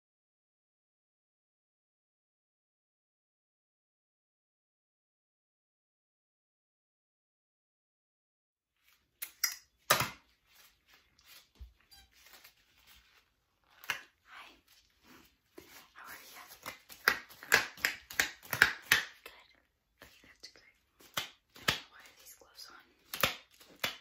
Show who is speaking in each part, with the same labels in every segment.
Speaker 1: Hi. How are you? Good. Why are these gloves on?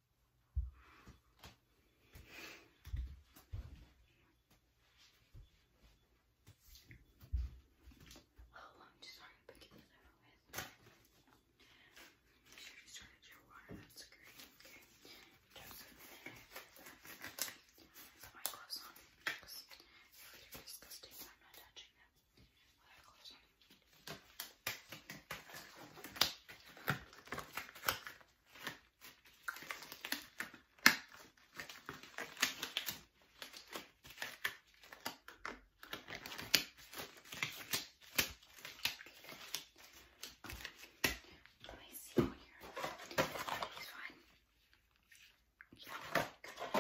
Speaker 1: Oh, i just sorry to pick with. Make sure you started your water, that's great. Okay. put my gloves on they're disgusting. I'm not touching them without gloves on. Let me see here. He's fine. Yeah, good.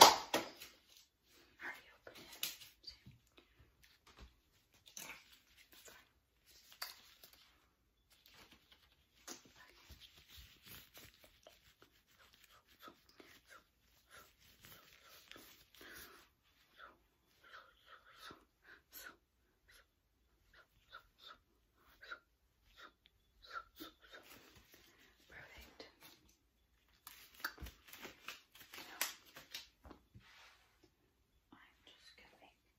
Speaker 1: Already open it. That's fine. Perfect. Now, I'm just going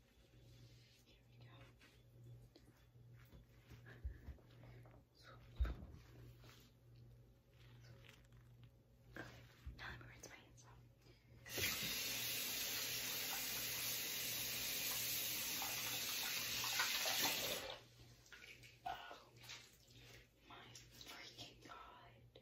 Speaker 1: Here we go. Okay, now let me rinse my hands Oh my freaking god.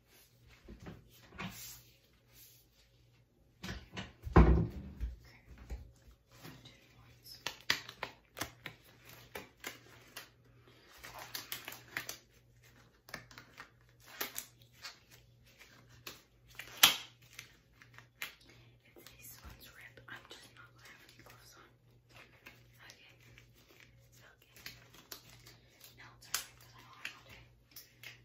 Speaker 1: It's these ones ripped. I'm just not gonna have any gloves on. Okay. Okay. Now it's alright because I don't have all day.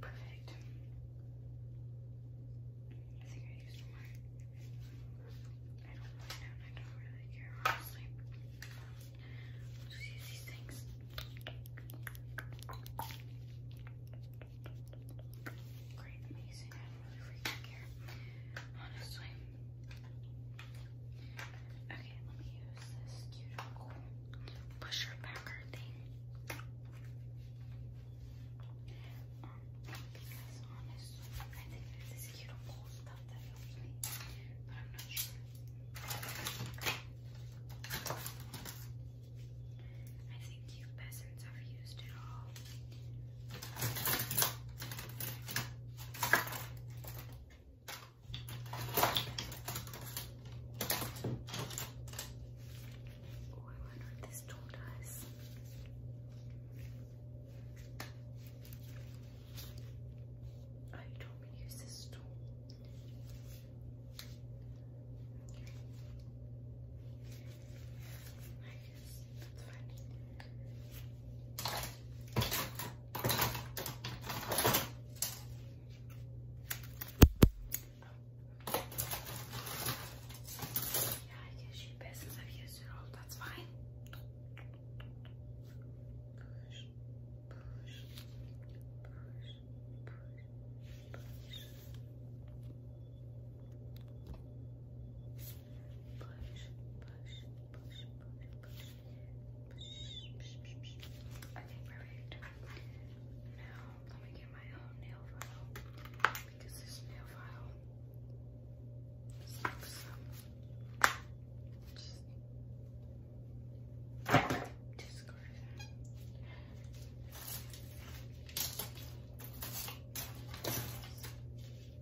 Speaker 1: Perfect. I think I used more. I don't mind it. I don't really care, honestly. I'll just use these things. Great, amazing. I don't really freaking care, honestly. Okay, let me use this cute pusher packer thing. Um, because honestly, I think there's this cute cool stuff that helps me, but I'm not sure. I think you peasants have used it all. Oh, I wonder what this tool does. Oh, you told use this tool. Yeah, I guess you best since I've used it all. That's fine push, push, push, push, push, push. Okay, perfect. Now let me get my own nail file because this nail file sucks. Just discard that. Okay,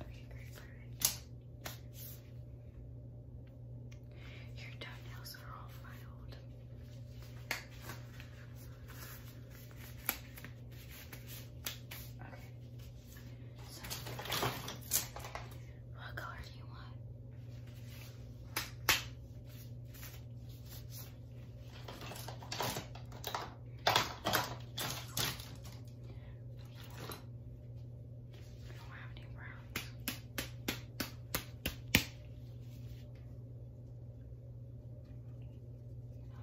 Speaker 1: Okay, great, Your toenails are all filed what color do you want? I do any browns.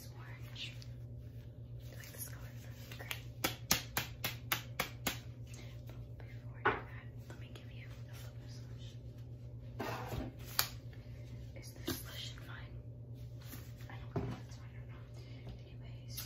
Speaker 1: nice orange. like this color, before that, let me give you a little bit Is this slush in mine? I don't know if it's or not. Anyways.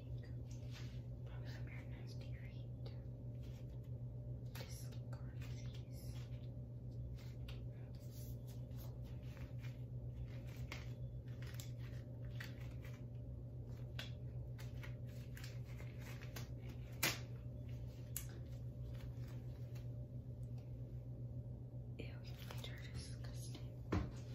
Speaker 1: think. Probably some very nasty feet. Discard these. Ew, your feet are disgusting. Oh my god.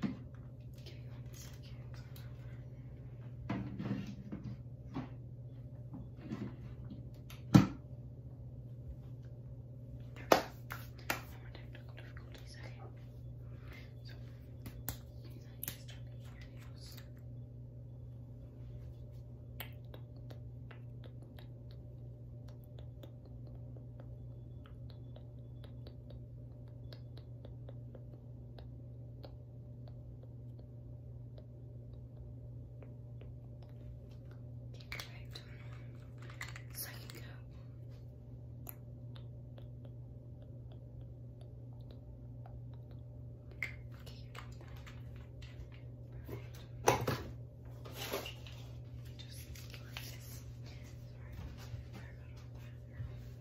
Speaker 1: technical difficulties, okay? So, just your nails. Okay, Perfect. So you go. Okay, you're done. Perfect. Just like this. Sorry, I got all that.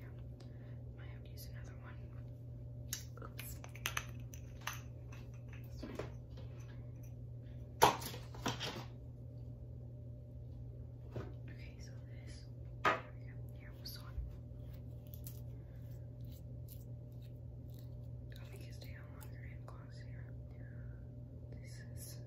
Speaker 1: Yeah, might have to use another one. Oops. Okay, so this. Here, we'll I'll make you stay on longer and gloss This is thick.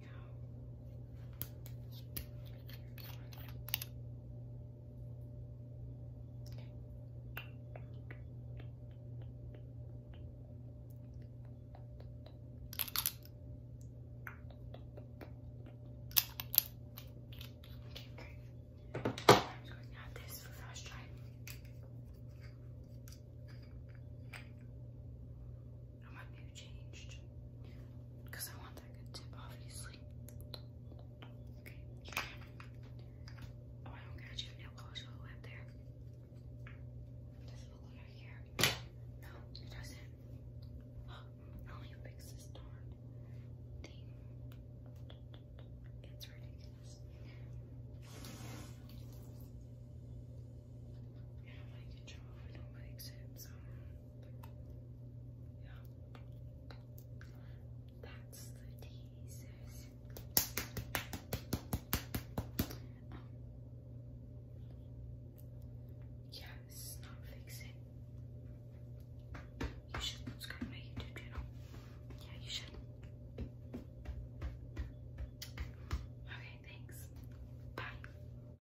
Speaker 1: Okay, great. I'm just going to add this for first try. I want you changed because I want that tip, obviously. Okay. Oh, I don't got you. Nail polish all the way up there. Does look like I No, it doesn't. Oh, now fix this darn thing. It's ridiculous. Yeah, I don't like I don't like it, so. Yeah. That's the teasers. Um, this is not fixing. You should subscribe to my YouTube channel. Yeah, you should. Okay, thanks. Bye.